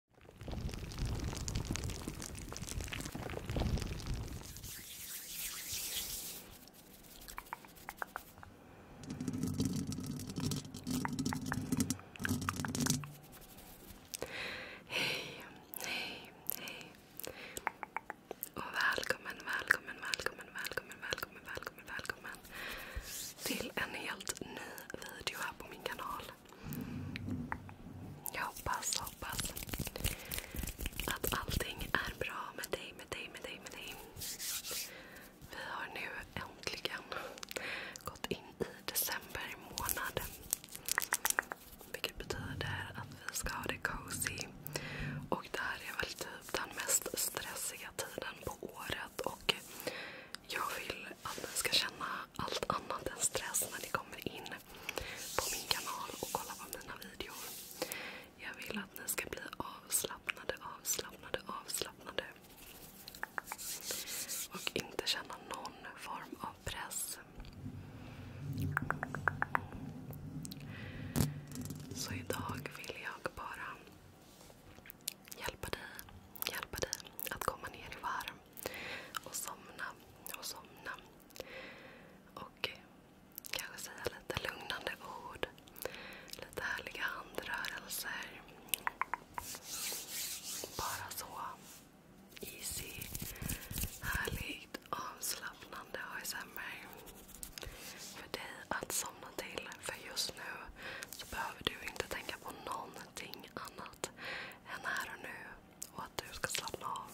Hej, hej, hej. Och välkommen, välkommen, välkommen, välkommen, välkommen, välkommen, till en helt ny video här på min kanal. Jag hoppas, hoppas att allting är bra med dig, med dig, med dig, Vi har nu äntligen gått in i december månad. Vilket betyder att vi ska ha det cozy. Och det här är väl typ den mest stressiga tiden på året. Och jag vill att ni ska känna allt annat än stress när ni kommer in på min kanal och kollar på mina videor. Jag vill att ni ska bli avslappnade, avslappnade, avslappnade. Och inte känna någon form av press. Så idag vill jag bara hjälpa dig, hjälpa dig att komma ner i varv och somna och somna. Och kanske säga lite lugnande ord. Lite härliga handrörelser. Bara så easy, härligt, avslappnande ASMR. För dig att somna till. För just nu så behöver du inte tänka på någonting annat än här och nu och att du ska slappna av.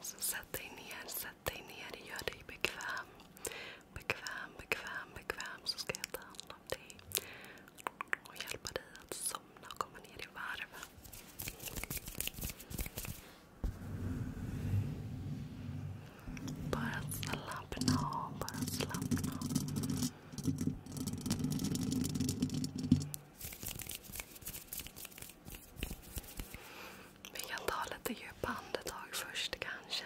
Så sätt dig ner, sätt dig ner, gör dig bekväm. Bekväm, bekväm, bekväm så ska jag ta hand om dig och hjälpa dig att somna och komma ner i varv. Bara slappna av, Vi kan ta lite djupa andetag först kanske.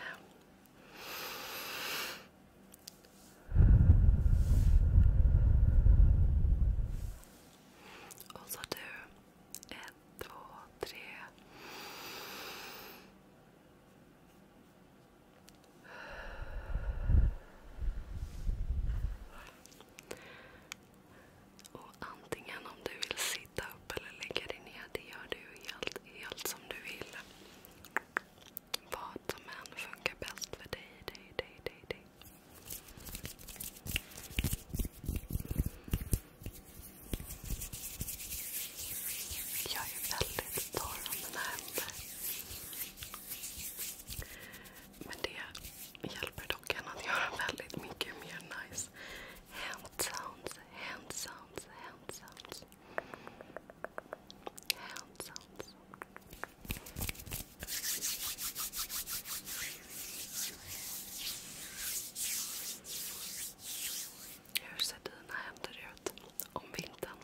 så du ett, två, tre. Och antingen om du vill sitta upp eller lägga dig ner, det gör du helt, helt som du vill. Vad som än funkar bäst för dig, dig, dig, dig, dig. Jag är väldigt torr om mina händer. Men det hjälper dock en att göra väldigt mycket mer nice hand sounds, hand sounds, hur ser dina händer ut om vintern?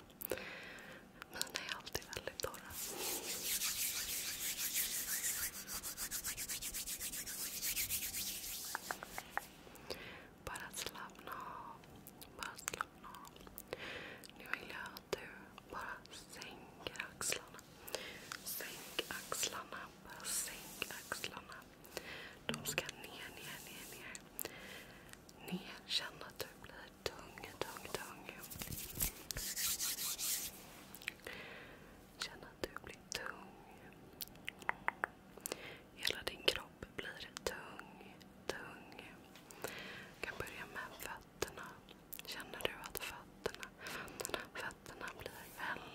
Mina är alltid väldigt torra. Bara slappna av. Bara slappna av. Nu vill jag att du bara sänker axlarna. Sänk axlarna. sänk axlarna. De ska ner, ner, ner, ner. Ner. Känn att du blir tung, tung, tung. Känn att du blir tung. Hela din kropp blir tung, tung. Du kan börja med fötterna. Känner du att fötterna fötterna. blir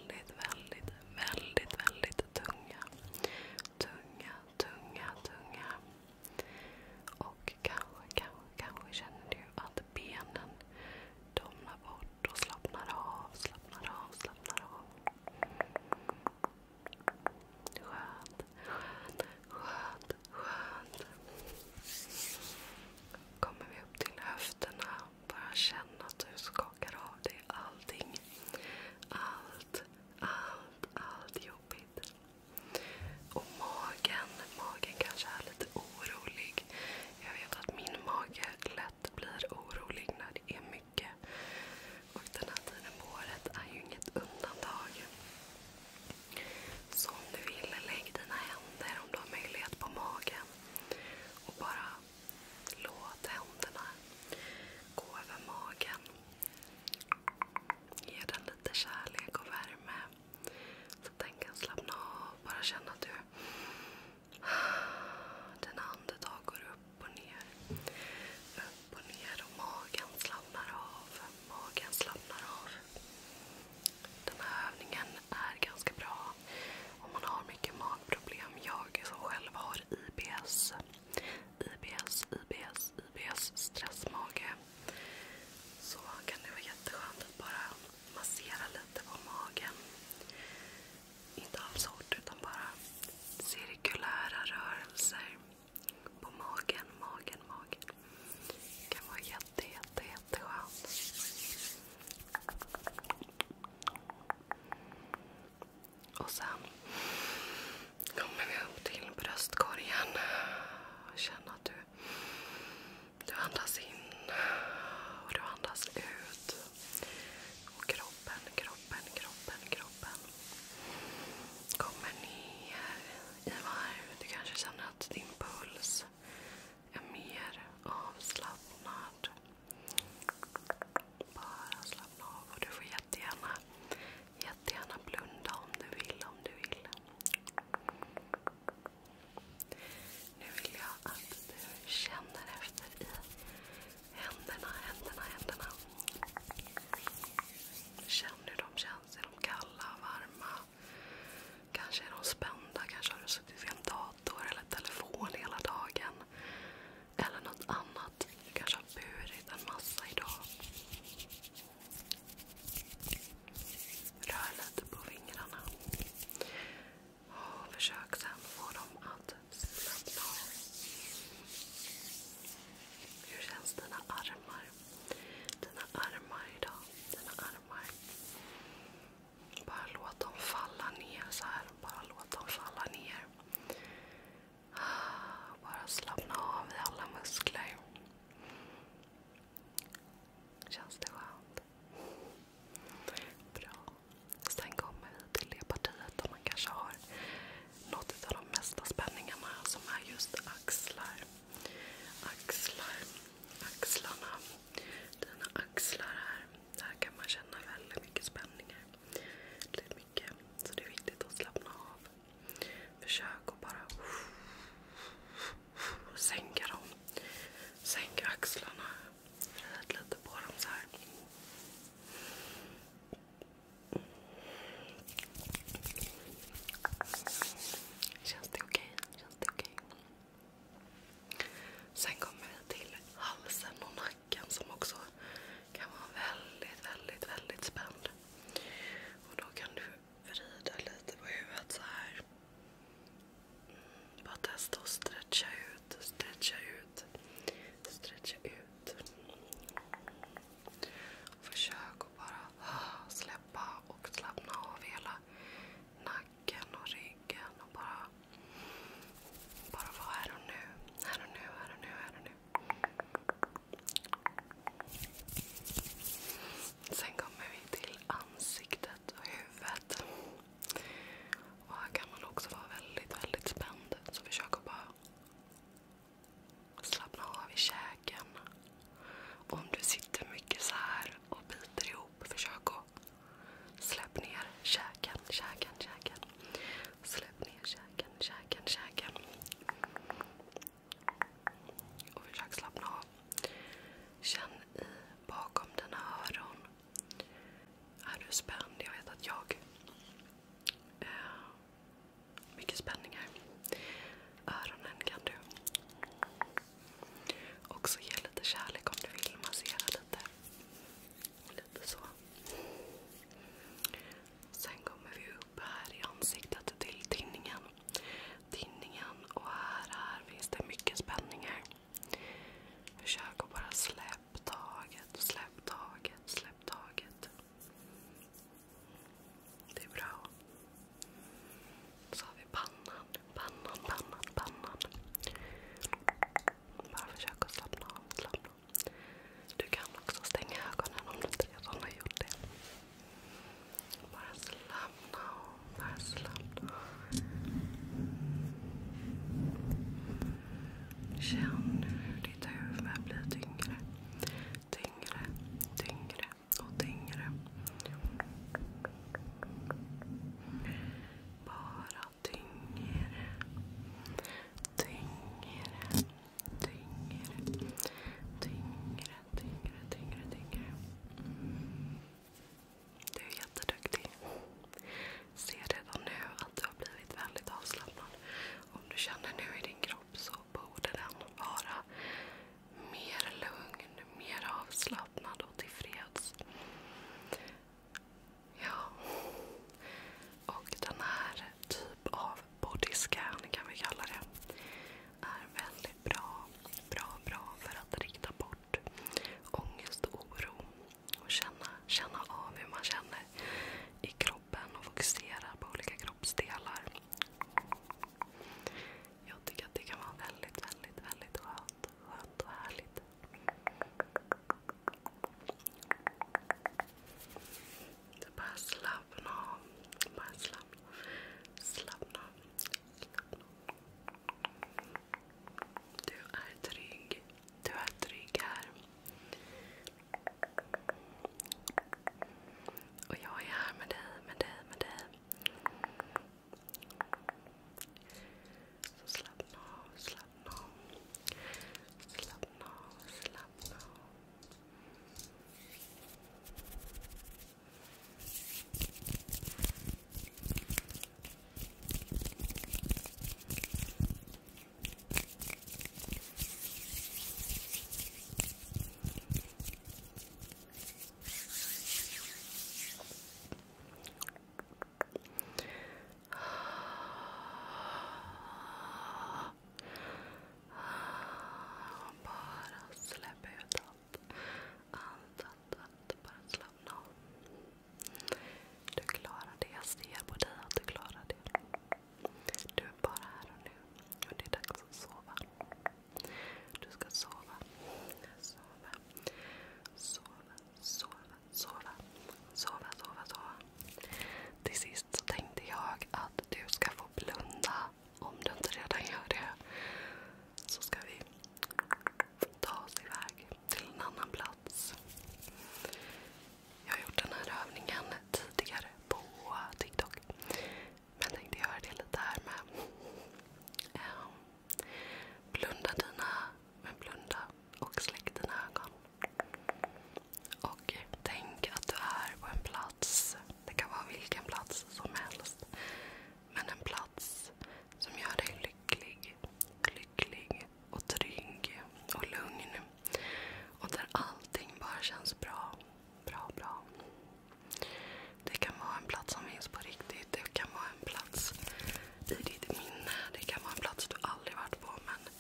väldigt, väldigt, väldigt, väldigt tunga. Tunga, tunga, tunga. Och kanske, kanske, kanske känner du att benen domnar bort och slappnar av, slappnar av, slappnar av. Skönt, skönt, skönt, skönt. Kommer vi upp till höfterna. Bara känna att du skakar av dig allting. Allt, allt, allt jobbigt. Och magen, magen kanske är lite orolig. Jag vet att min mage lätt blir orolig när det är mycket. Och den här tiden på året är ju inget undantag. Så om du vill, lägg dina händer om du har möjlighet på magen. Låt händerna gå över magen. Ge den lite kärlek och värme. Så att den kan slappna av. Bara känna att Dina andetag går upp och ner. Upp och ner och magen slappnar av. Magen slappnar av. Den här övningen är ganska bra om man har mycket magproblem. Jag som själv har IBS, IBS, IBS, IBS, stressmage. Så kan det vara jätteskönt att bara massera lite på magen. Inte alls hårt utan bara cirkulära rörelser på magen, magen, magen. Det kan vara jätte, och sen kommer vi upp till bröstkorgen. Känn att du, du andas in och du andas ut. Och kroppen, kroppen, kroppen, kroppen kommer ner i varv. Du kanske känner att din puls är mer avslappnad. Bara slappna av du får jättegärna, blunda om du vill. Nu vill jag att du känner efter i händerna, händerna, händerna. Känn hur de känns. Är de kalla, varma? Kanske är de spända? Kanske har du suttit i en dag dator eller telefon hela dagen. Eller något annat. Du kanske har burit en massa idag. Rör lite på fingrarna. Och försök sen få dem att slappna av. Hur känns dina armar? Dina armar idag. Dina armar. Bara låt dem falla ner så här. Bara låt dem falla ner. Bara slappna av i alla muskler. Känns det skönt? Bra. Sen kommer vi till det partiet där man kanske har något av de mesta spänningarna som är just axlar. Axlar. Axlarna. Dina axlar här. Där kan man känna väldigt mycket spänningar. Väldigt mycket. Så det är viktigt att slappna av. Försök att bara sänka dem. Sänka axlarna. Röd lite på dem så här. Känns det okej? Okay? Känns det okej? Okay? Sen kommer vi till halsen och nacken som också kan vara väldigt, väldigt, väldigt spänd. Och då kan du vrida lite på huvudet så här. Mm, bara testa att stretcha ut, stretcha ut, stretcha ut. Försök att bara ah, släppa och slappna av hela nacken och ryggen och bara bara vara här och nu. Här och nu, här och nu, här och nu. Sen kommer vi till ansiktet och huvudet. här kan man också vara väldigt, väldigt spänd. Så försök att bara slappna av i käken. Om du sitter mycket så här och biter ihop ihop. Försök att släpp ner käken, käken, käken. Släpp ner käken, käken, käken. Och försök slappna av. Känn i bakom dina öron. Är du spänd? Jag vet att jag... Eh, mycket spänningar. Öronen kan du också ge lite kärlek om du vill. Massera lite. Lite så. Sen kommer vi upp här i ansiktet till tinningen. Tinningen och här, finns det mycket spänningar. Försök att bara släpp taget, släpp taget, släpp taget. Det är bra. Så har vi pannan, pannan, pannan, pannan. Bara försök att slappna av. Du kan också stänga ögonen om du redan har gjort det. Bara slappna av. Känn hur ditt huvud blir tyngre. Tyngre, tyngre och tyngre tyngre, tyngre, tyngre, tyngre, tyngre, tyngre, tyngre. Mm. Du är jätteduktig. Ser redan nu att du har blivit väldigt avslappnad. Om du känner nu i din kropp så borde den vara mer lugn, mer avslappnad och tillfreds. Ja. Och den här typ av bodyscan kan vi kalla det. Är väldigt bra. Bra, bra för att rikta bort ångest och oro. Och känna, känna av hur man känner i kroppen och fokusera på olika kroppsdelar. Jag tycker att det kan vara väldigt, väldigt, väldigt skönt. Skönt och härligt. Det bara slappna av. Bara slappna av. Du är trygg. Du är trygg här. Och jag är här med dig, med dig, med dig. Så slappna av slappna av. Slappna av, slappna av. Bara släpp ut allt. Allt, allt, allt. Bara slappna av. Du klarar det. Jag ser på dig att du klarar det. Du är bara här och nu. Och det är dags att sova. Du ska sova. Sova. Sova. Sova sova, sova, sova, sova. Till sist tänkte jag att du ska få blunda, om du inte redan gör det. Så ska vi ta oss iväg till en annan plats. Jag har gjort den här övningen tidigare på TikTok. Men tänkte göra det lite här med. Ehm, blunda dina, men blunda och släck dina ögon. Och tänk att du är på en plats. Det kan vara vilken plats som helst. Men en plats som gör dig lycklig, lycklig och trygg och lugn. Och där allting bara känns bra. Bra, bra. Det kan vara en plats som finns på riktigt. Det kan vara en plats i ditt minne. Det kan vara en plats du aldrig varit på. Men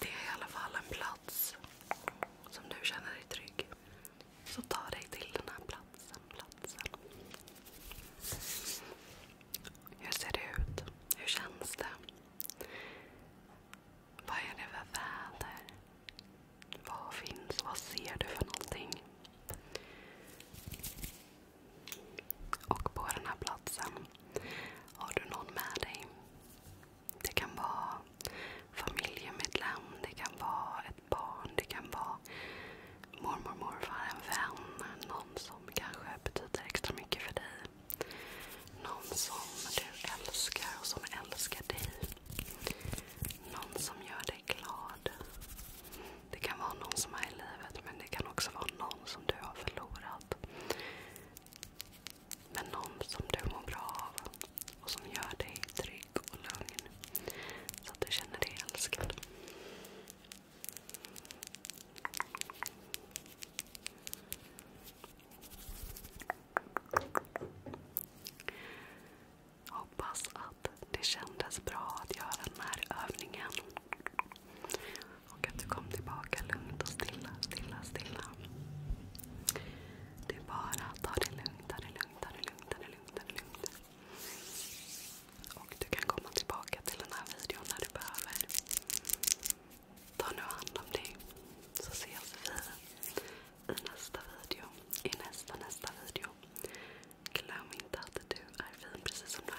det är i alla fall en plats som du känner dig trygg. Så ta dig till den här platsen. platsen. Hur ser det ut? Hur känns det? Vad är det för väder? Vad finns? Vad ser du för någonting? Och på den här platsen har du någon med dig. Det kan vara familjemedlem, det kan vara ett barn, det kan vara mormor, morfar, en vän. Någon som kanske betyder extra mycket för dig. Någon som du älskar och som älskar dig. Någon som gör dig glad. Det kan vara någon som är i livet men det kan också vara någon som du har förlorat. Men någon som du mår bra av och som gör dig trygg och lugn. Så att du känner dig älskad. Hoppas att det kändes bra att göra den här övningen. Och att du kom tillbaka lugnt och stilla, stilla, stilla. Det är bara att ta det lugnt, ta det lugnt, ta det lugnt, ta det lugnt, ta det lugnt. Och du kan komma tillbaka till den här videon när du behöver. Ta nu hand om dig. Så ses vi i nästa video. I nästa, nästa video. Glöm inte att du är fin precis som du är.